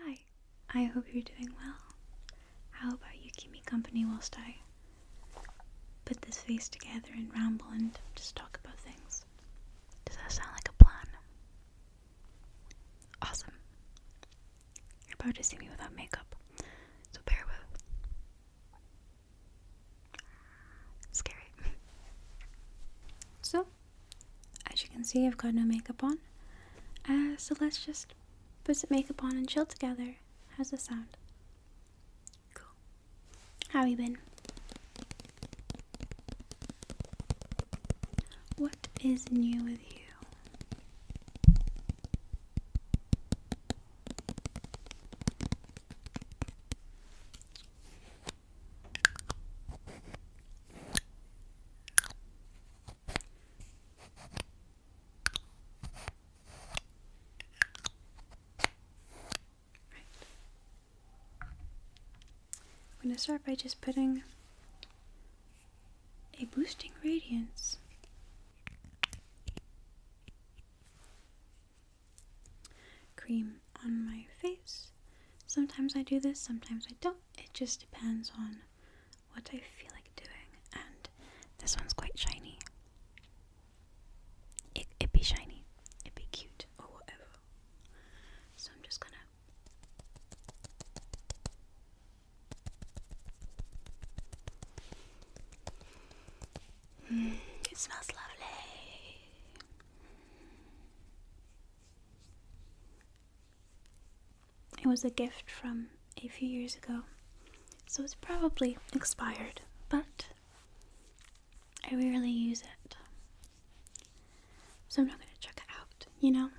Hi, I hope you're doing well. How about you keep me company whilst I put this face together and ramble and just talk about things? Does that sound like a plan? Awesome. You're about to see me without makeup, so bear with. It's scary. so, as you can see, I've got no makeup on. Uh, so let's just put some makeup on and chill together. How's the sound? Cool. How you been? What is new with you? I'm going to start by just putting a boosting radiance cream on my face. Sometimes I do this, sometimes I don't it just depends on what I feel like doing. And this one's quite shiny. It, it'd be shiny, it'd be cute, or whatever. So I'm just gonna. Mm, it smells lovely. It was a gift from a few years ago, so it's probably expired, but I rarely use it. So I'm not going to check it out, you know?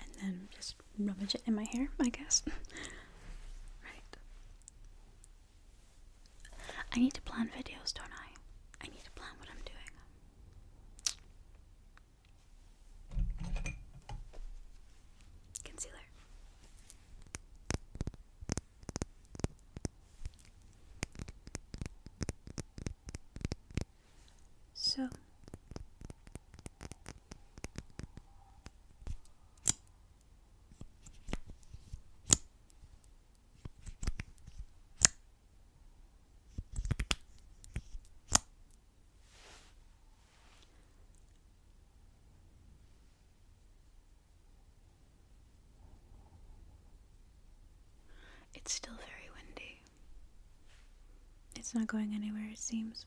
and then just rummage it in my hair, I guess. right. I need to plan videos, don't I? I need to plan what I'm doing. Concealer. So, it's still very windy. It's not going anywhere, it seems.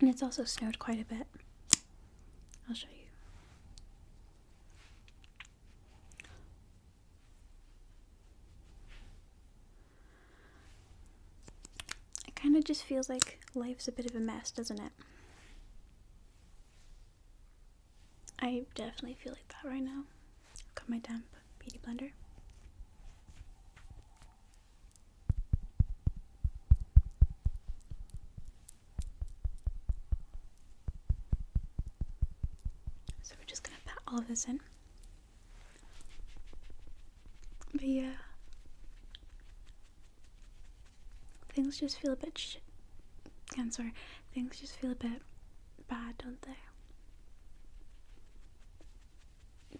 And it's also snowed quite a bit. I'll show you. It kind of just feels like life's a bit of a mess, doesn't it? I definitely feel like that right now got my damp beauty blender. So we're just gonna pat all of this in. But yeah, things just feel a bit sh- I'm sorry, things just feel a bit bad, don't they?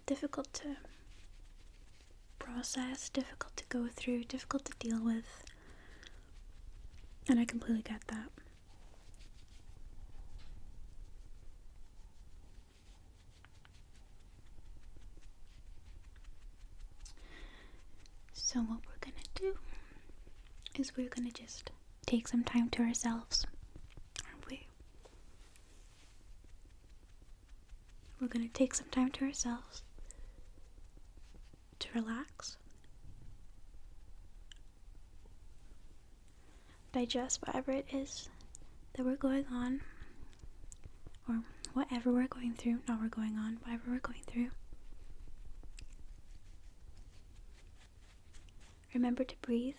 difficult to process, difficult to go through, difficult to deal with. And I completely get that. So, what we're gonna do is we're gonna just take some time to ourselves, aren't we? We're going to take some time to ourselves to relax, digest whatever it is that we're going on, or whatever we're going through, Now we're going on, whatever we're going through. Remember to breathe.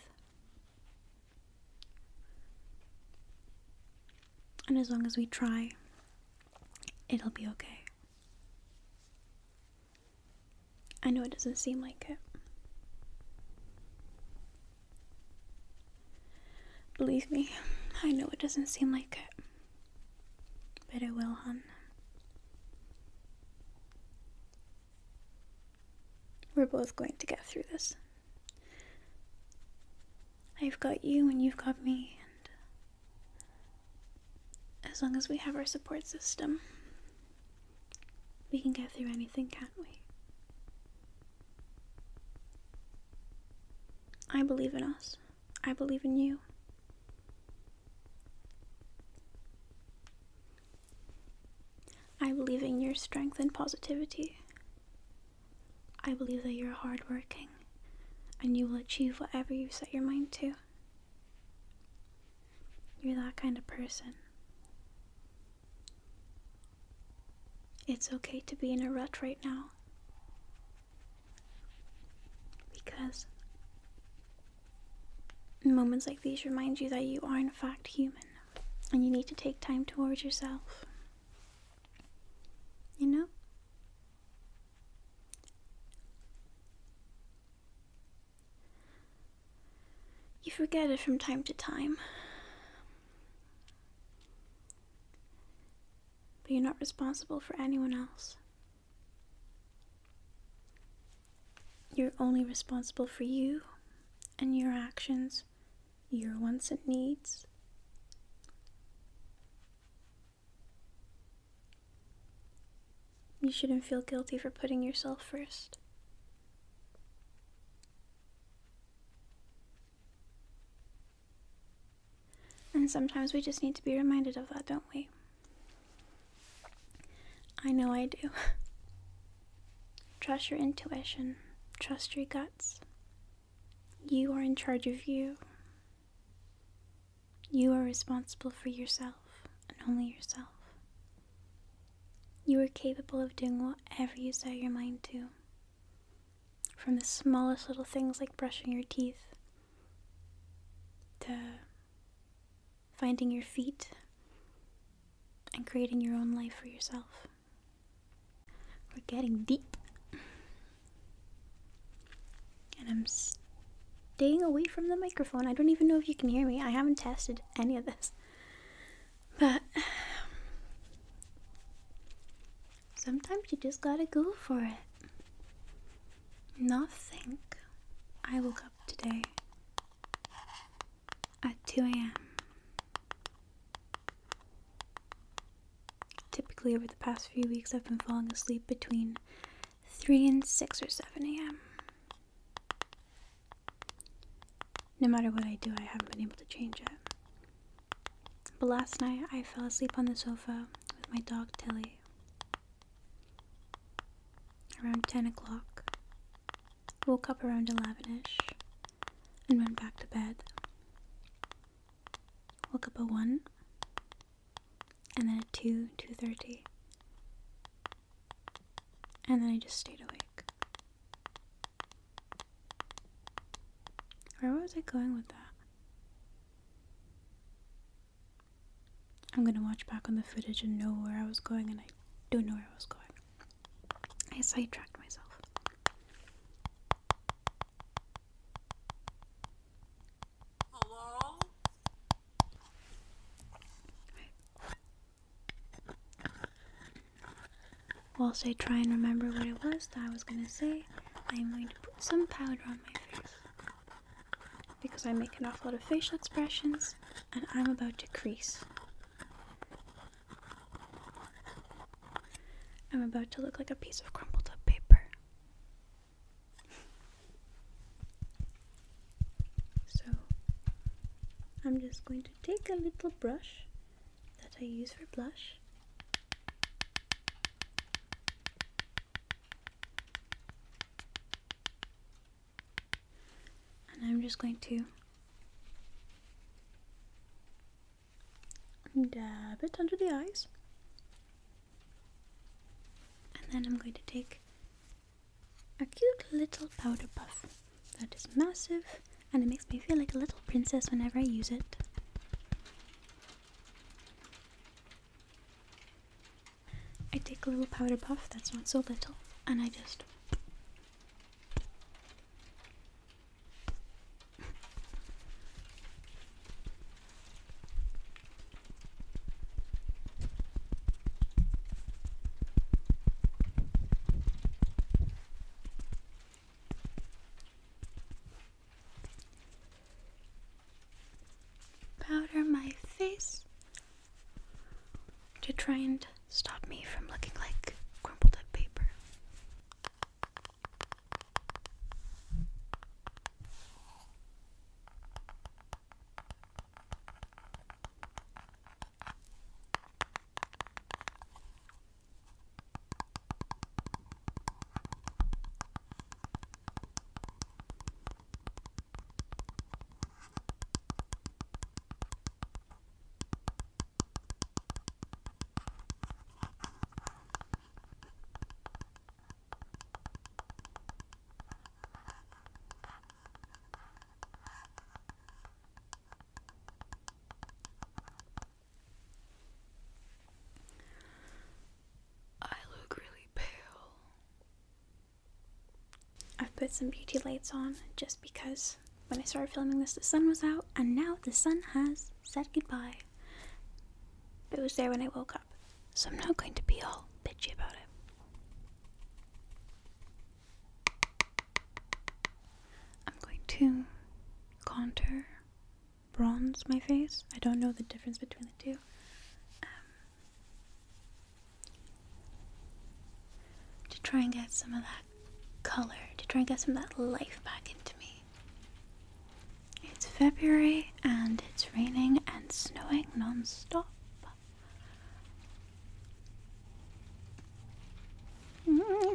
And as long as we try, it'll be okay. I know it doesn't seem like it. Believe me, I know it doesn't seem like it. But it will, hon. We're both going to get through this. I've got you and you've got me, and as long as we have our support system, we can get through anything, can't we? I believe in us. I believe in you. I believe in your strength and positivity. I believe that you're hardworking and you will achieve whatever you set your mind to. You're that kind of person. It's okay to be in a rut right now. Because moments like these remind you that you are, in fact, human and you need to take time towards yourself. You know? You forget it from time to time. But you're not responsible for anyone else. You're only responsible for you and your actions your wants and needs. You shouldn't feel guilty for putting yourself first. And sometimes we just need to be reminded of that, don't we? I know I do. Trust your intuition, trust your guts. You are in charge of you. You are responsible for yourself and only yourself. You are capable of doing whatever you set your mind to. From the smallest little things like brushing your teeth to finding your feet and creating your own life for yourself. We're getting deep. And I'm staying away from the microphone. I don't even know if you can hear me. I haven't tested any of this. But sometimes you just gotta go for it. Nothing. I woke up today at 2 a.m. Typically, over the past few weeks, I've been falling asleep between 3 and 6 or 7 a.m. No matter what I do, I haven't been able to change it. But last night, I fell asleep on the sofa with my dog Tilly around 10 o'clock. Woke up around 11ish and went back to bed. Woke up at 1 and then at 2, 2.30. And then I just stayed awake. Where was I going with that? I'm gonna watch back on the footage and know where I was going, and I don't know where I was going. I sidetracked myself. Hello? Right. Whilst I try and remember what it was that I was gonna say, I'm going to put some powder on my face. Because I make an awful lot of facial expressions and I'm about to crease. I'm about to look like a piece of crumpled up paper. So, I'm just going to take a little brush that I use for blush. And I'm just going to Dab uh, it under the eyes. And then I'm going to take a cute little powder puff that is massive and it makes me feel like a little princess whenever I use it. I take a little powder puff that's not so little and I just Powder my face to try and stop me from looking like crumpled up paper. I look really pale. I've put some beauty lights on just because when I started filming this, the sun was out, and now the sun has said goodbye. It was there when I woke up, so I'm not going to be all bitchy about it. I'm going to contour bronze my face. I don't know the difference between the two. Um, to try and get some of that color to try and get some of that life back into me. It's February and it's raining and snowing non stop. Mm-hmm.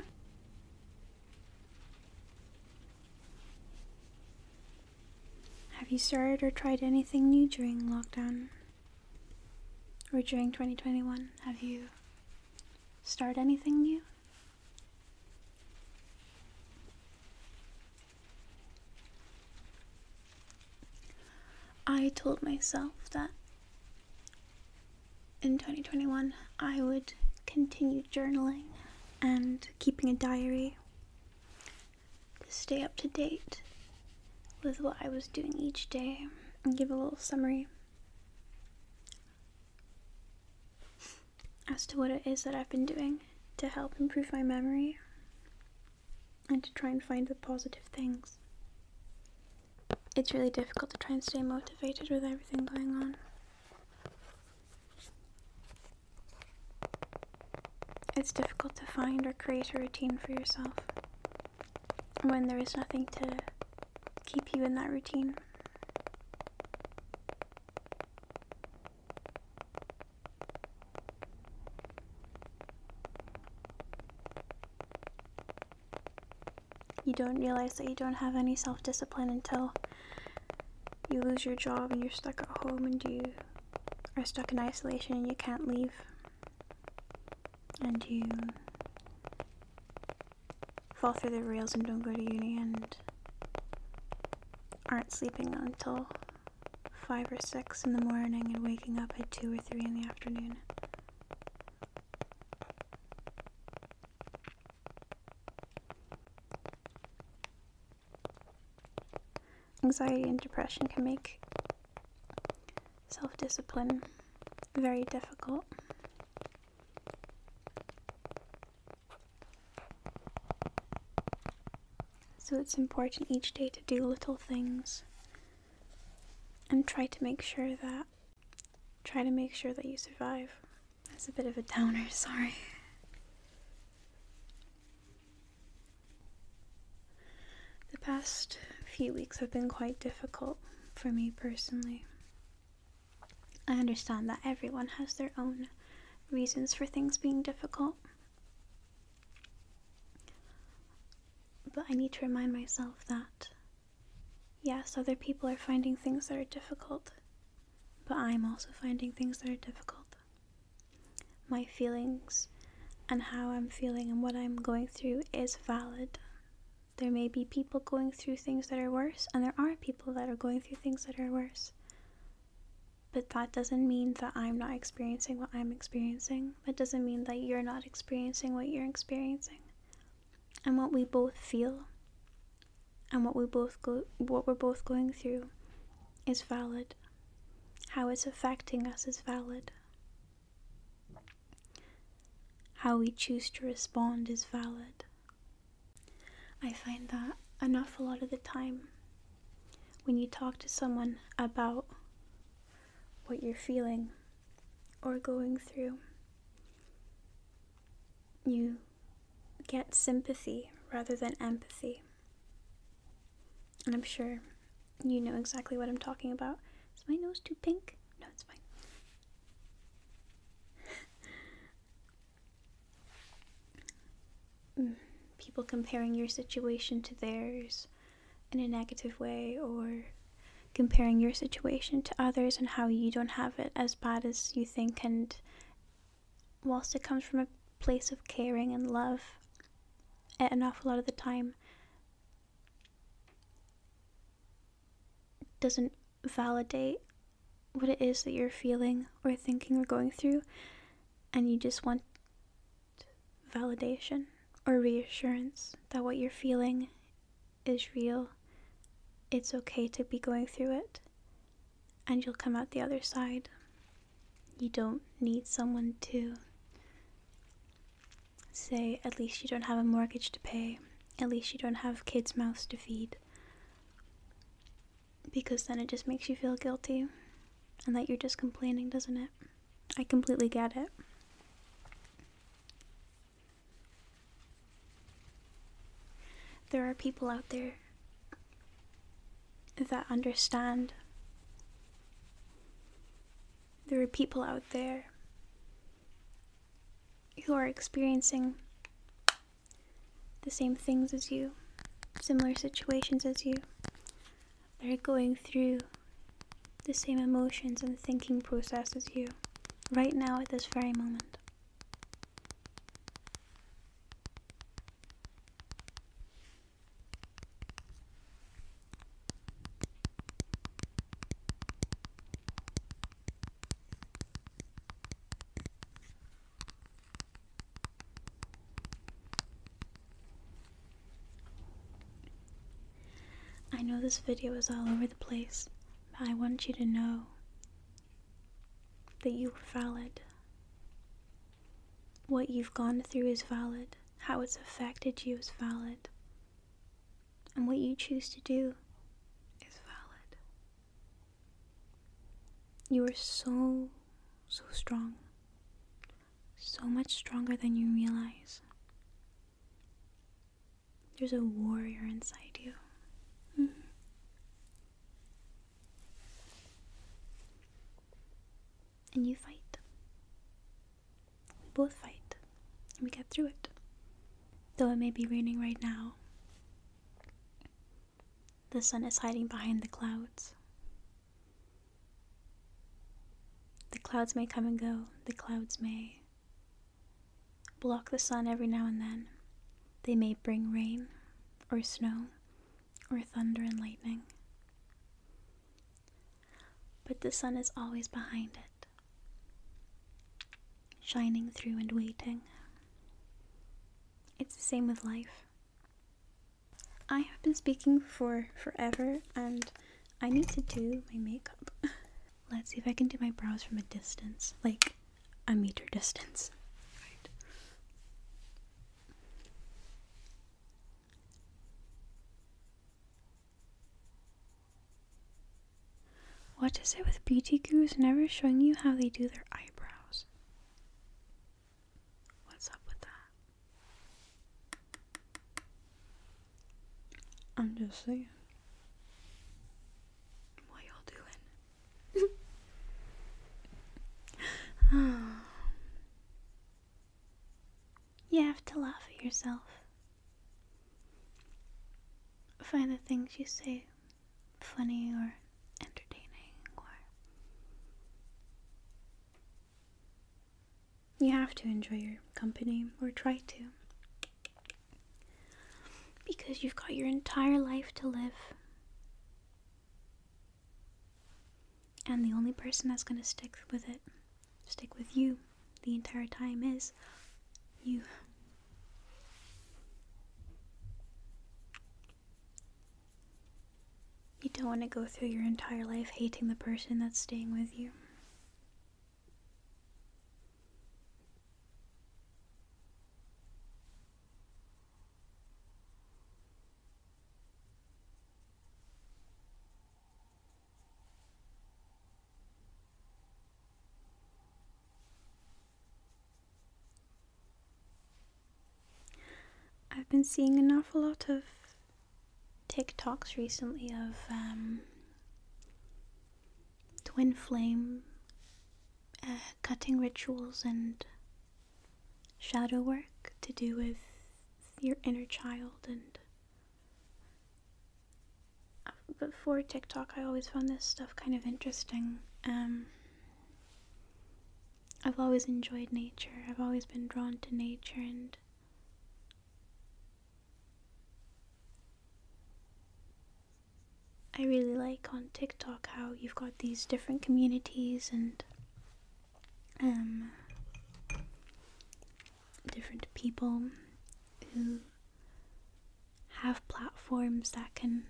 Have you started or tried anything new during lockdown? Or during 2021? Have you started anything new? I told myself that in 2021 I would continue journaling and keeping a diary to stay up to date with what I was doing each day and give a little summary as to what it is that I've been doing to help improve my memory and to try and find the positive things. It's really difficult to try and stay motivated with everything going on. It's difficult to find or create a routine for yourself when there is nothing to keep you in that routine you don't realize that you don't have any self discipline until you lose your job and you're stuck at home and you are stuck in isolation and you can't leave. And you fall through the rails and don't go to uni and aren't sleeping until 5 or 6 in the morning and waking up at 2 or 3 in the afternoon. Anxiety and depression can make self discipline very difficult. So it's important each day to do little things and try to make sure that try to make sure that you survive. That's a bit of a downer, sorry. The past few weeks have been quite difficult for me personally. I understand that everyone has their own reasons for things being difficult. But I need to remind myself that, yes, other people are finding things that are difficult, but I'm also finding things that are difficult. My feelings and how I'm feeling and what I'm going through is valid. There may be people going through things that are worse, and there are people that are going through things that are worse. But that doesn't mean that I'm not experiencing what I'm experiencing. It doesn't mean that you're not experiencing what you're experiencing. And what we both feel and what we both go what we're both going through is valid. How it's affecting us is valid. How we choose to respond is valid. I find that an awful lot of the time when you talk to someone about what you're feeling or going through, you get sympathy rather than empathy. And I'm sure you know exactly what I'm talking about. Is my nose too pink? No, it's fine. Mm, people comparing your situation to theirs in a negative way or comparing your situation to others and how you don't have it as bad as you think and whilst it comes from a place of caring and love an awful lot of the time doesn't validate what it is that you're feeling or thinking or going through, and you just want validation or reassurance that what you're feeling is real. It's okay to be going through it, and you'll come out the other side. You don't need someone to say, at least you don't have a mortgage to pay, at least you don't have kids' mouths to feed. Because then it just makes you feel guilty and that you're just complaining, doesn't it? I completely get it. There are people out there that understand. There are people out there who are experiencing the same things as you, similar situations as you, they are going through the same emotions and thinking process as you, right now at this very moment. I know this video is all over the place, but I want you to know that you are valid. What you've gone through is valid, how it's affected you is valid, and what you choose to do is valid. You are so, so strong. So much stronger than you realize. There's a warrior inside you. Mm-hmm. And you fight. We both fight. And we get through it. Though it may be raining right now, the sun is hiding behind the clouds. The clouds may come and go, the clouds may block the sun every now and then. They may bring rain, or snow, or thunder and lightning. But the sun is always behind it shining through and waiting. It's the same with life. I have been speaking for forever and I need to do my makeup. Let's see if I can do my brows from a distance, like a meter distance. What is it with beauty gurus never showing you how they do their eyebrows? What's up with that? I'm just saying. What y'all doing? you have to laugh at yourself. Find the things you say funny or entertaining or you have to enjoy your company or try to because you've got your entire life to live. And the only person that's going to stick with it, stick with you the entire time is you. You don't want to go through your entire life hating the person that's staying with you. I've been seeing an awful lot of TikToks recently of um, twin flame uh, cutting rituals and shadow work to do with your inner child and uh, before TikTok, I always found this stuff kind of interesting. Um, I've always enjoyed nature. I've always been drawn to nature and I really like on TikTok how you've got these different communities and um, different people who have platforms that can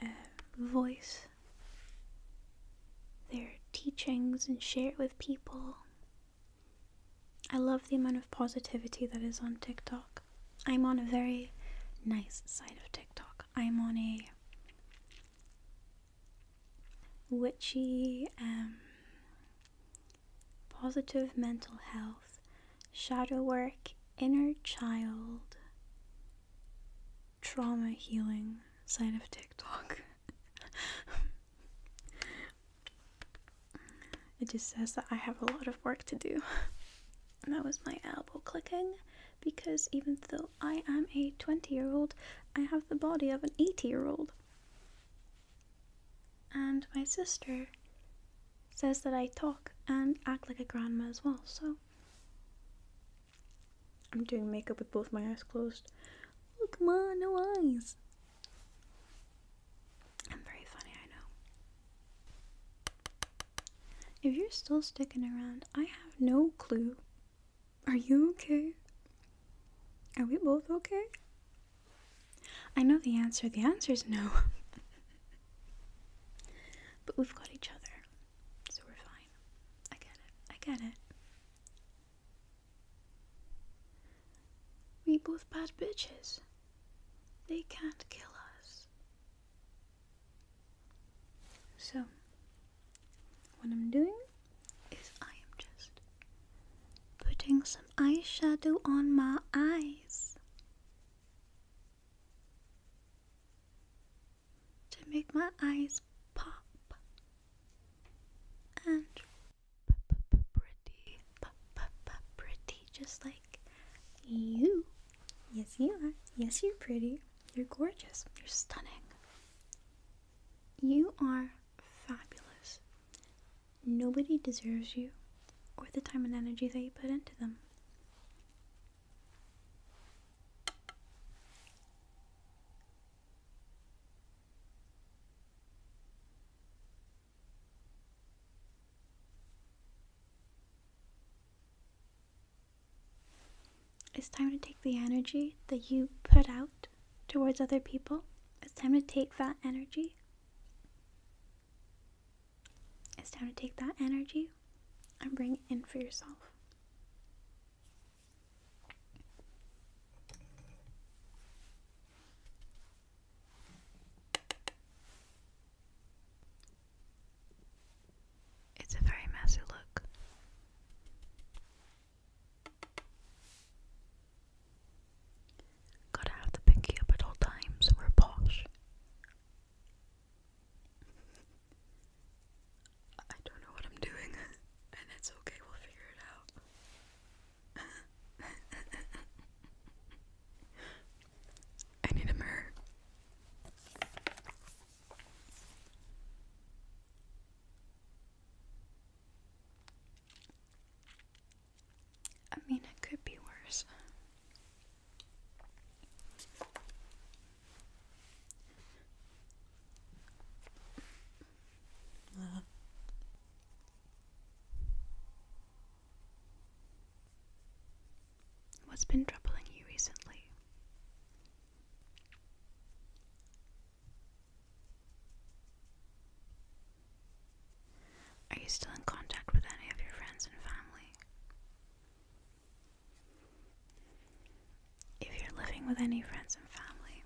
uh, voice their teachings and share it with people. I love the amount of positivity that is on TikTok. I'm on a very nice side of TikTok. I'm on a witchy, um, positive mental health, shadow work, inner child, trauma healing side of TikTok. it just says that I have a lot of work to do. that was my elbow clicking because even though I am a 20 year old, I have the body of an 80 year old. And my sister says that I talk and act like a grandma as well, so. I'm doing makeup with both my eyes closed. Look, ma, no eyes. I'm very funny, I know. If you're still sticking around, I have no clue. Are you okay? Are we both okay? I know the answer. The answer is no. but we've got each other, so we're fine. I get it. I get it. We both bad bitches. They can't kill us. So, what I'm doing is I am just putting some eyeshadow on my eye eyes to make my eyes pop and p -p pretty, p pretty, just like you. Yes, you are. Yes, you're pretty. You're gorgeous. You're stunning. You are fabulous. Nobody deserves you or the time and energy that you put into them. It's time to take the energy that you put out towards other people. It's time to take that energy it's time to take that energy and bring it in for yourself. It's a very messy look. Gotta have the pinky up at all times, we're posh. I don't know what I'm doing, and it's okay, we'll figure it out. I need a mirror. I mean, it could be worse. What's been troubling you recently? Are you still in contact with any of your friends and family? If you're living with any friends and family,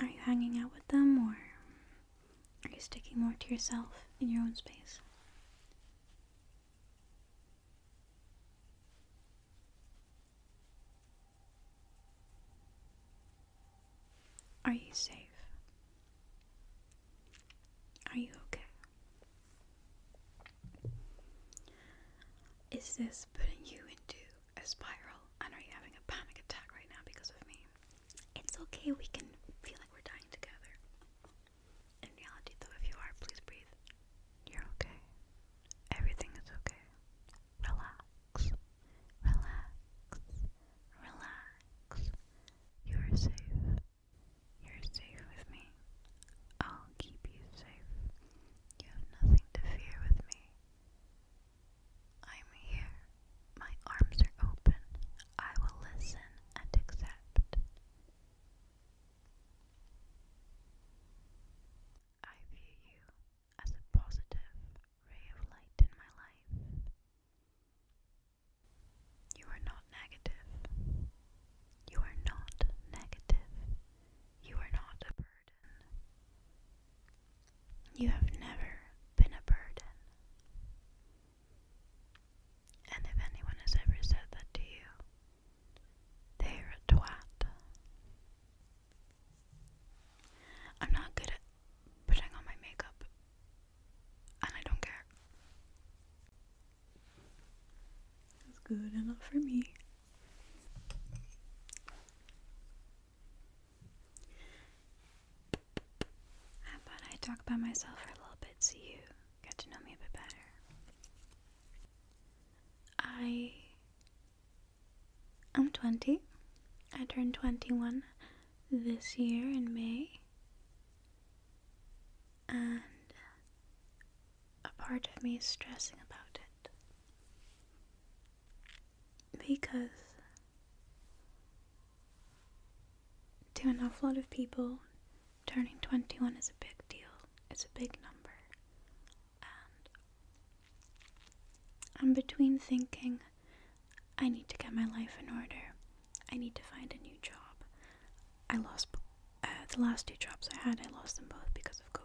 are you hanging out with them or are you sticking more to yourself in your own space? Are you safe? Are you okay? Is this putting you into a spiral? And are you having a panic attack right now because of me? It's okay, we can feel like we're dying together. In reality, though, if you are, please breathe. You're okay. Everything is okay. Relax. Relax. Relax. You are safe. You're safe with me. I'll keep you safe. You have nothing to fear with me. I'm here. My arms are open. I will listen and accept. I view you as a positive ray of light in my life. You are not negative. You are not negative. You are not a burden. You have never been a burden. And if anyone has ever said that to you, they're a twat. I'm not good at putting on my makeup and I don't care. That's good enough for me. How about I talk about myself for a little bit so you get to know me a bit better? I'm 20. I turned 21 this year in May and a part of me is stressing about it because to an awful lot of people, turning 21 is a big deal, it's a big number, and I'm between thinking I need to get my life in order. I need to find a new job. I lost uh, the last two jobs I had, I lost them both because of COVID.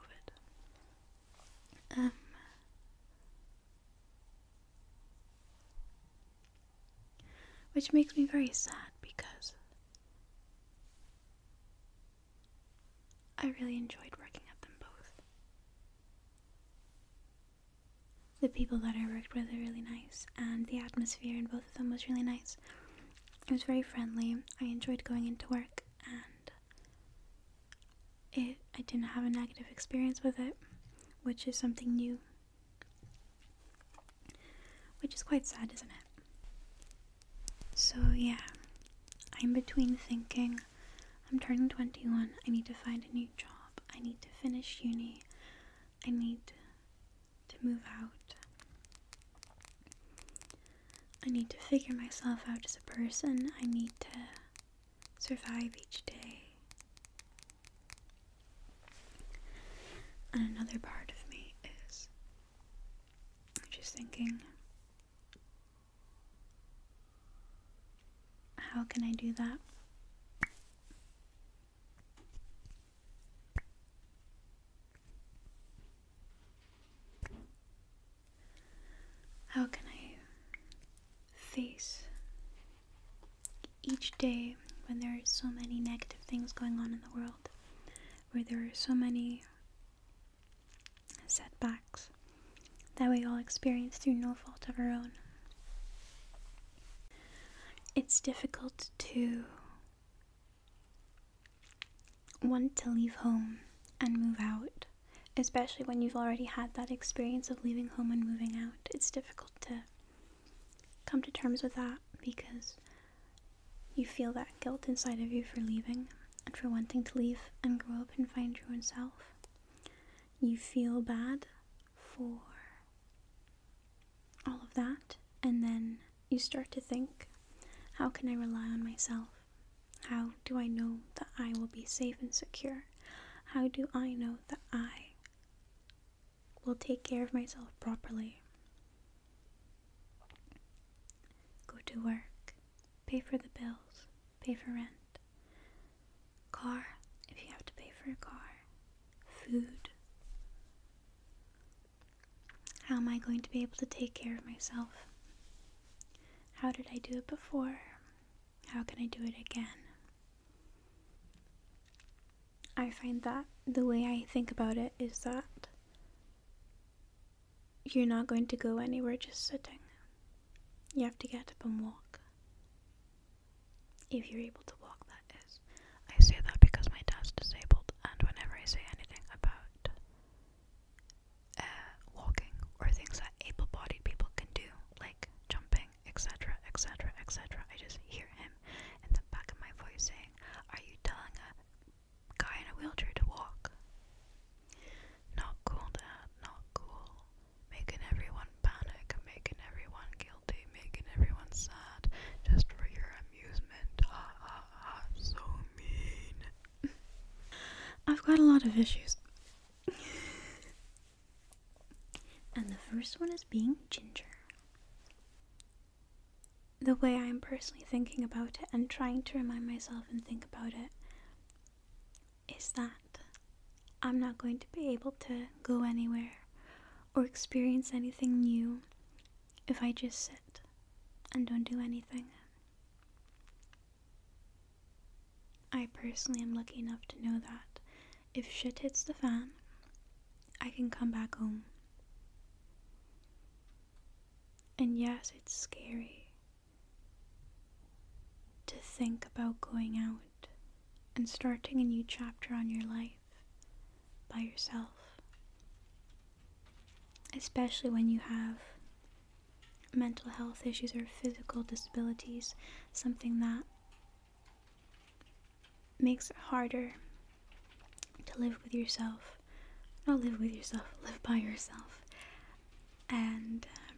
Um, which makes me very sad because I really enjoyed working at them both the people that I worked with were really nice, and the atmosphere in both of them was really nice. It was very friendly. I enjoyed going into work, and it I didn't have a negative experience with it, which is something new, which is quite sad, isn't it? So yeah, I'm between thinking. I'm turning 21. I need to find a new job. I need to finish uni. I need to move out. I need to figure myself out as a person. I need to survive each day. And another part of me is just thinking, how can I do that? How can I face each day when there are so many negative things going on in the world, where there are so many setbacks that we all experience through no fault of our own? It's difficult to want to leave home and move out, especially when you've already had that experience of leaving home and moving out. It's difficult to come to terms with that because you feel that guilt inside of you for leaving and for wanting to leave and grow up and find your own self. You feel bad for all of that, and then you start to think how can I rely on myself? How do I know that I will be safe and secure? How do I know that I will take care of myself properly? Go to work, pay for the bills, pay for rent, car if you have to pay for a car, food. How am I going to be able to take care of myself? How did I do it before? How can I do it again? I find that the way I think about it is that you're not going to go anywhere just sitting. You have to get up and walk. If you're able to walk, that is. I say that because my dad's disabled, and whenever I say anything about uh, walking or things that able bodied people can do, like jumping, etc., etc., etc., I just hear him in the back of my voice saying, Are you telling a guy in a wheelchair to walk? Not cool, Dad, not cool. Making everyone panic, making everyone guilty, making everyone sad just for your amusement. Ha ha ha, so mean. I've got a lot of issues. and the first one is being ginger. The way I'm personally thinking about it and trying to remind myself and think about it is that I'm not going to be able to go anywhere or experience anything new if I just sit and don't do anything. I personally am lucky enough to know that if shit hits the fan, I can come back home. And yes, it's scary to think about going out and starting a new chapter on your life by yourself. Especially when you have mental health issues or physical disabilities, something that makes it harder to live with yourself. Not live with yourself, live by yourself. And um,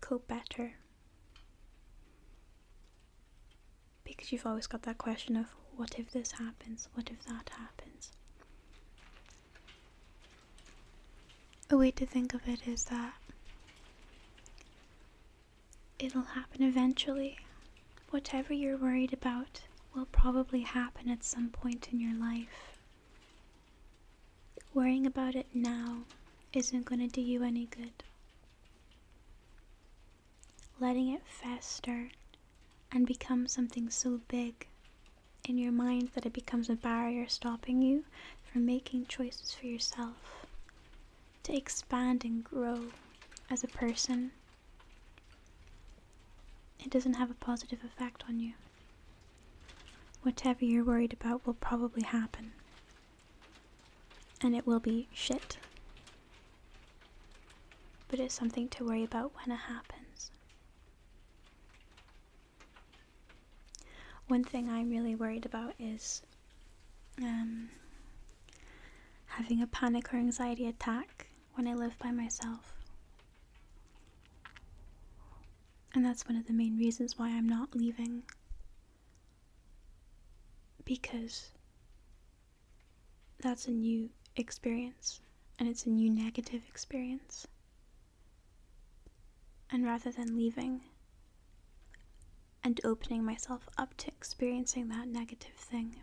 cope better because you've always got that question of what if this happens? What if that happens? A way to think of it is that it'll happen eventually. Whatever you're worried about will probably happen at some point in your life. Worrying about it now isn't going to do you any good letting it fester and become something so big in your mind that it becomes a barrier stopping you from making choices for yourself, to expand and grow as a person, it doesn't have a positive effect on you. Whatever you're worried about will probably happen, and it will be shit. But it's something to worry about when it happens. One thing I'm really worried about is um, having a panic or anxiety attack when I live by myself. And that's one of the main reasons why I'm not leaving. Because that's a new experience and it's a new negative experience. And rather than leaving and opening myself up to experiencing that negative thing,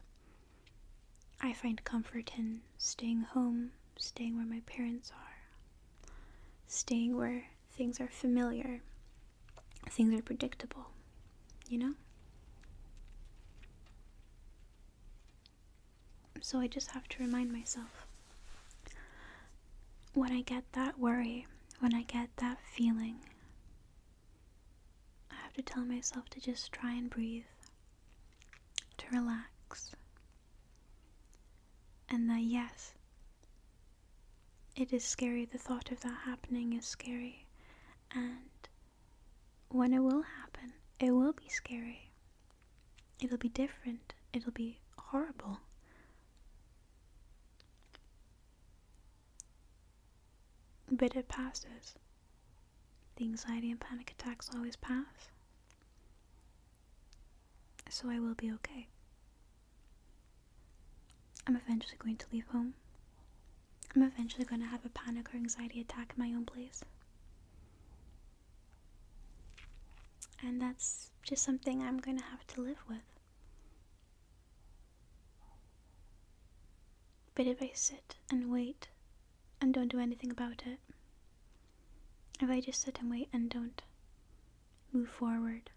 I find comfort in staying home, staying where my parents are, staying where things are familiar things are predictable, you know? So I just have to remind myself when I get that worry, when I get that feeling, I have to tell myself to just try and breathe, to relax, and that yes, it is scary, the thought of that happening is scary, and when it will happen, it will be scary. It'll be different. It'll be horrible. But it passes. The anxiety and panic attacks always pass. So I will be okay. I'm eventually going to leave home. I'm eventually going to have a panic or anxiety attack in my own place. And that's just something I'm going to have to live with. But if I sit and wait and don't do anything about it, if I just sit and wait and don't move forward,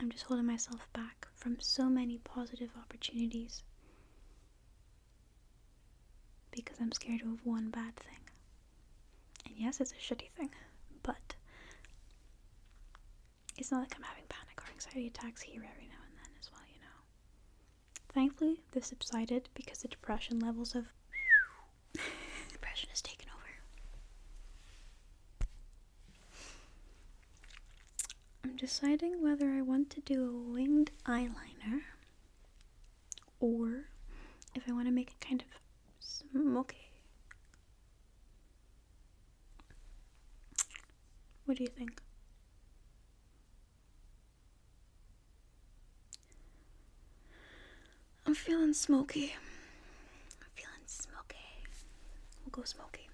I'm just holding myself back from so many positive opportunities because I'm scared of one bad thing. And yes, it's a shitty thing, but it's not like I'm having panic or anxiety attacks here every now and then as well, you know. Thankfully, this subsided because the depression levels have. depression has taken over. I'm deciding whether I want to do a winged eyeliner or if I want to make a kind of smoky. What do you think? I'm feeling smoky. I'm feeling smoky. We'll go smoky.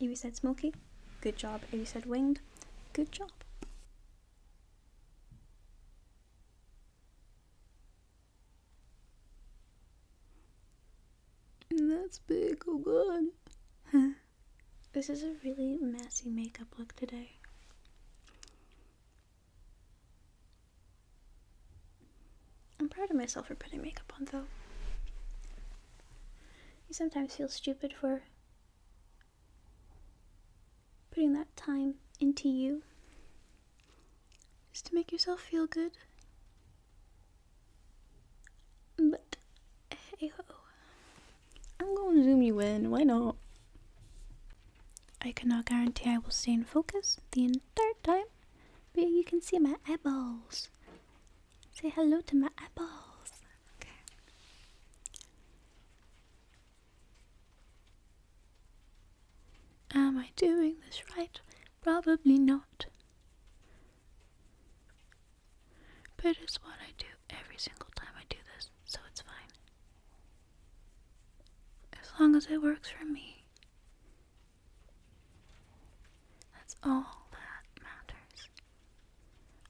Evie said smoky. Good job. Evie said winged. Good job. that's big, oh god. this is a really messy makeup look today. I'm proud of myself for putting makeup on, though. You sometimes feel stupid for putting that time into you just to make yourself feel good. But hey ho, I'm gonna zoom you in, why not? I cannot guarantee I will stay in focus the entire time, but you can see my eyeballs. Say hello to my apples. Okay. Am I doing this right? Probably not. But it's what I do every single time I do this, so it's fine. As long as it works for me, that's all that matters.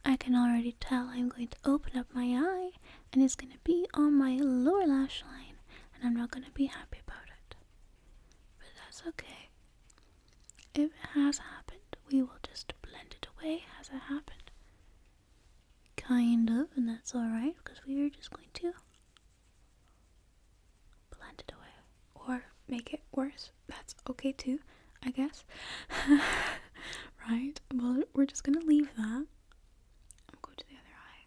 I can already tell I'm going to open up my eye and it's going to be on my lower lash line, and I'm not going to be happy about it. But that's okay. If it has happened, we will just blend it away as it happened. Kind of, and that's alright because we are just going to blend it away or make it worse. That's okay too, I guess. right? Well, we're just gonna leave that. I'll go to the other eye.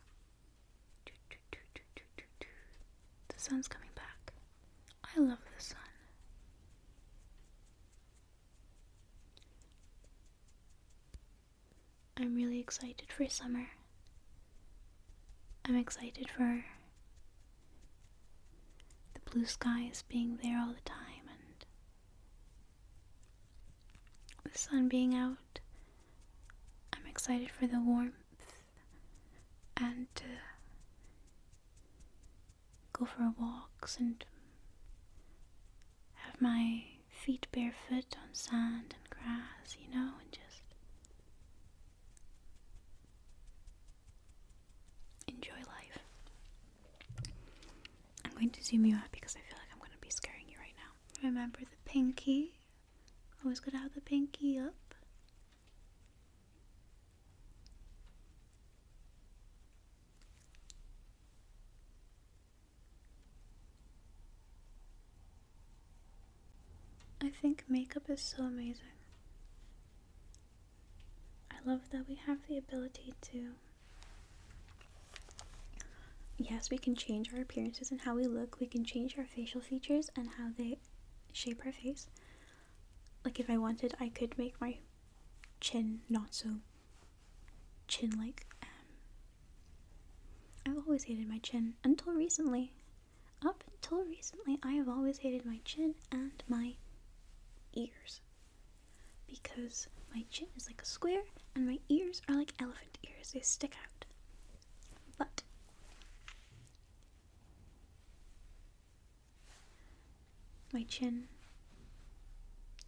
The sun's coming back. I love the sun. I'm really excited for summer. I'm excited for the blue skies being there all the time and the sun being out. I'm excited for the warmth and to go for walks and have my feet barefoot on sand and grass, you know, and just Enjoy life. I'm going to zoom you out because I feel like I'm going to be scaring you right now. Remember the pinky? Always gotta have the pinky up. I think makeup is so amazing. I love that we have the ability to. Yes, we can change our appearances and how we look. We can change our facial features and how they shape our face. Like, if I wanted, I could make my chin not so chin like. Um, I've always hated my chin until recently. Up until recently, I have always hated my chin and my ears because my chin is like a square and my ears are like elephant ears, they stick out. But my chin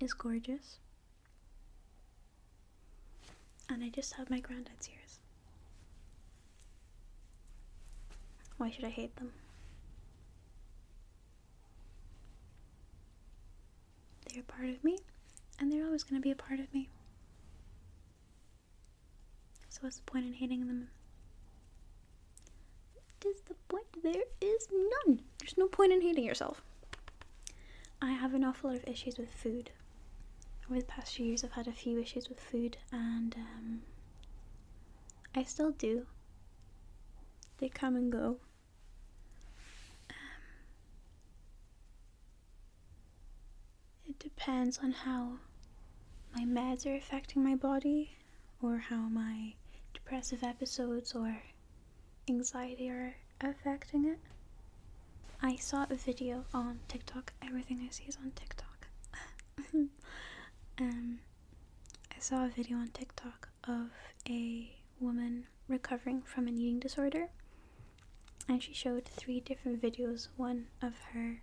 is gorgeous, and I just have my granddad's ears. Why should I hate them? They're part of me, and they're always going to be a part of me. So, what's the point in hating them? What is the point? There is none. There's no point in hating yourself. I have an awful lot of issues with food. Over the past few years, I've had a few issues with food, and um, I still do. They come and go. Um, it depends on how my meds are affecting my body, or how my depressive episodes or anxiety are affecting it. I saw a video on TikTok. Everything I see is on TikTok. Um, I saw a video on TikTok of a woman recovering from an eating disorder, and she showed three different videos one of her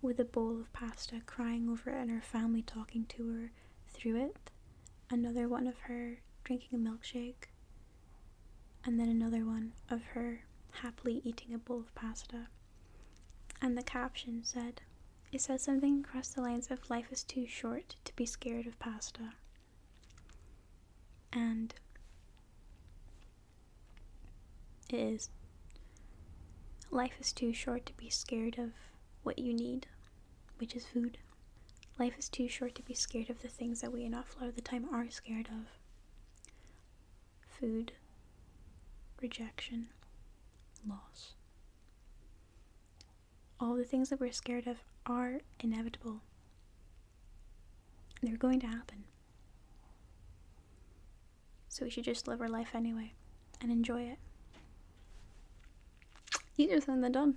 with a bowl of pasta crying over it and her family talking to her through it, another one of her drinking a milkshake, and then another one of her happily eating a bowl of pasta. And the caption said, It says something across the lines of life is too short to be scared of pasta. And it is. Life is too short to be scared of what you need, which is food. Life is too short to be scared of the things that we in Offload the Time are scared of food, rejection, loss. All the things that we're scared of are inevitable. They're going to happen. So we should just live our life anyway and enjoy it. Easier said than done.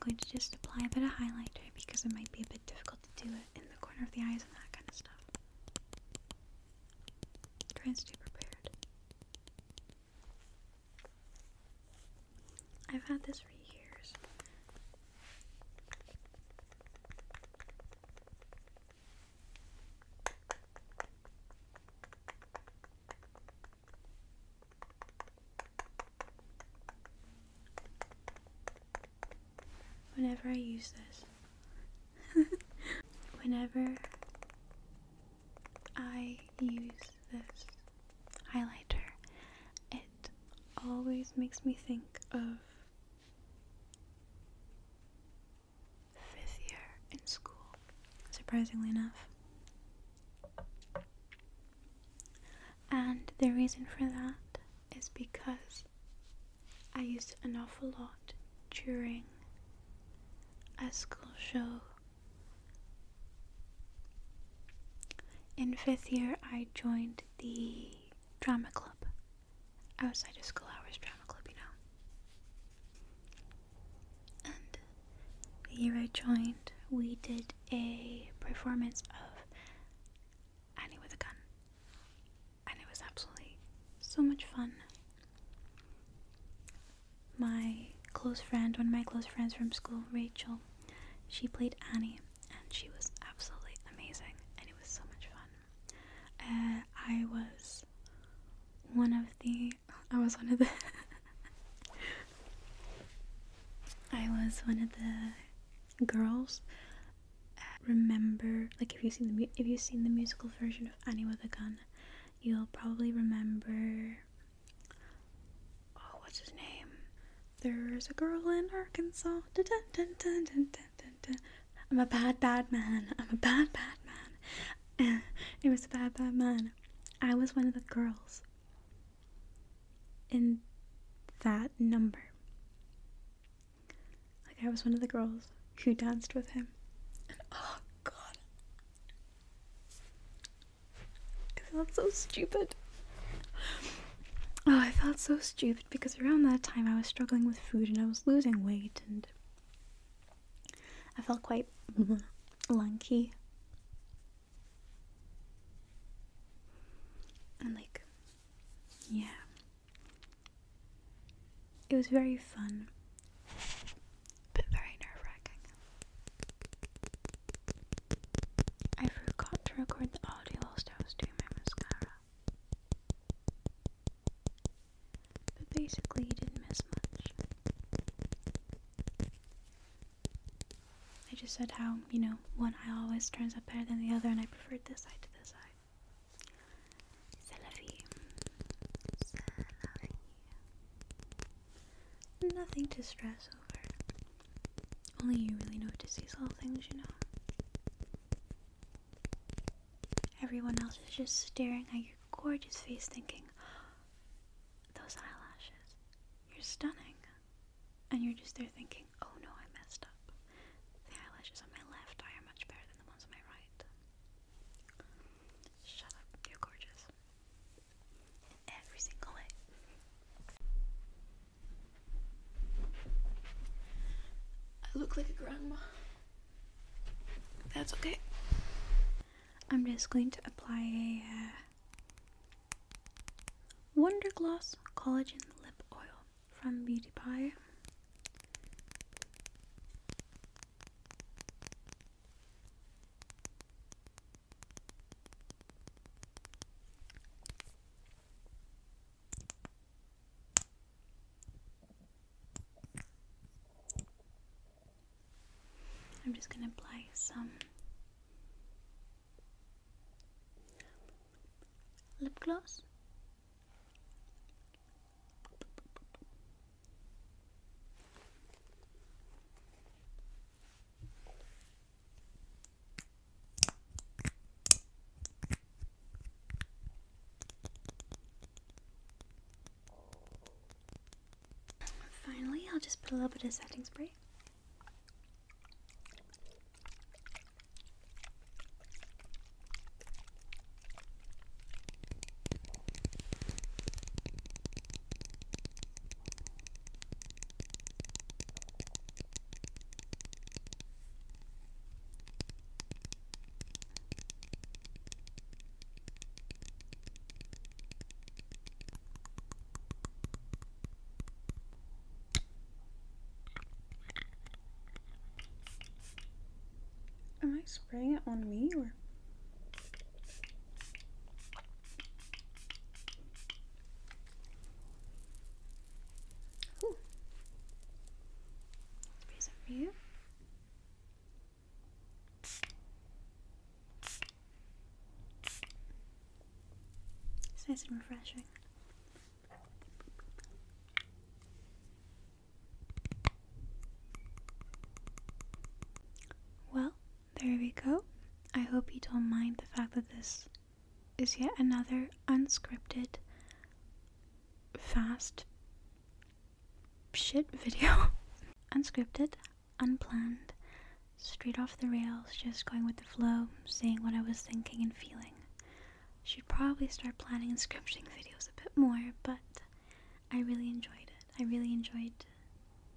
I'm going to just apply a bit of highlighter because it might be a bit difficult to do it in the corner of the eyes and that kind of stuff. Try and stay prepared. I've had this for years. Whenever I use this, Whenever I use this highlighter, it always makes me think of fifth year in school, surprisingly enough. And the reason for that is because I used an awful lot during a school show. In fifth year, I joined the drama club outside of school hours drama club, you know. And the year I joined, we did a performance of Annie with a Gun, and it was absolutely so much fun. My close friend, one of my close friends from school, Rachel, she played Annie and she was absolutely amazing and it was so much fun. Uh, I was one of the, I was one of the, I was one of the girls. Uh, remember, like if you seen the if you've seen the musical version of Annie with a Gun, You'll probably remember. Oh, what's his name? There's a girl in Arkansas. I'm a bad, bad man. I'm a bad, bad man. it was a bad, bad man. I was one of the girls in that number. Like, I was one of the girls who danced with him. And oh god. I felt so stupid. Oh, I felt so stupid because around that time I was struggling with food and I was losing weight and I felt quite lanky. And like, yeah. It was very fun but very nerve wracking. I forgot to record the audio whilst I was doing my mascara. But basically, you didn't miss much. I just said how, you know, one eye always turns out better than the other, and I preferred this side to this side. Nothing to stress over. Only you really notice these little things, you know. Everyone else is just staring at your gorgeous face, thinking, Those eyelashes, you're stunning. And you're just there thinking, Oh no, I messed up. The eyelashes on my left eye are much better than the ones on my right. Shut up, you're gorgeous. every single way. I look like a grandma. That's okay. I'm just going to apply a uh, Wonder Gloss Collagen Lip Oil from Beauty Pie. I'm just going to apply some lip gloss Finally, I'll just put a little bit of setting spray. Am I spraying it on me or it's nice and refreshing. Well, there we go. I hope you don't mind the fact that this is yet another unscripted, fast shit video. unscripted, unplanned, straight off the rails, just going with the flow, saying what I was thinking and feeling. Should probably start planning and scripting videos a bit more, but I really enjoyed it. I really enjoyed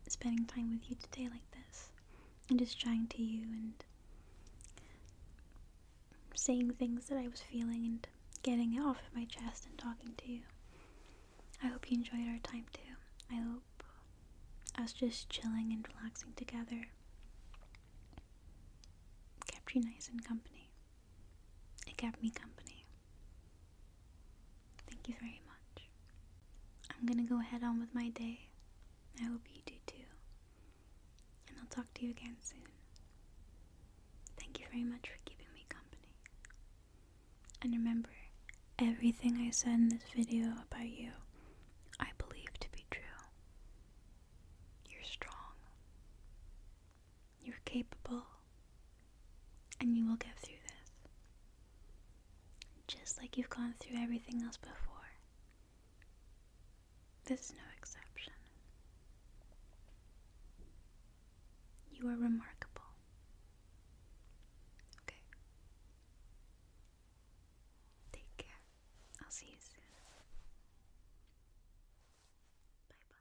spending time with you today like this and just chatting to you and saying things that I was feeling and getting it off of my chest and talking to you. I hope you enjoyed our time too. I hope us just chilling and relaxing together kept you nice and company. It kept me company. Thank you very much. I'm gonna go ahead on with my day. I hope you do too. And I'll talk to you again soon. Thank you very much for keeping me company. And remember, everything I said in this video about you, I believe to be true. You're strong. You're capable, and you will get through this. Just like you've gone through everything else before. This is no exception. You are remarkable. Okay. Take care. I'll see you soon. Bye bye.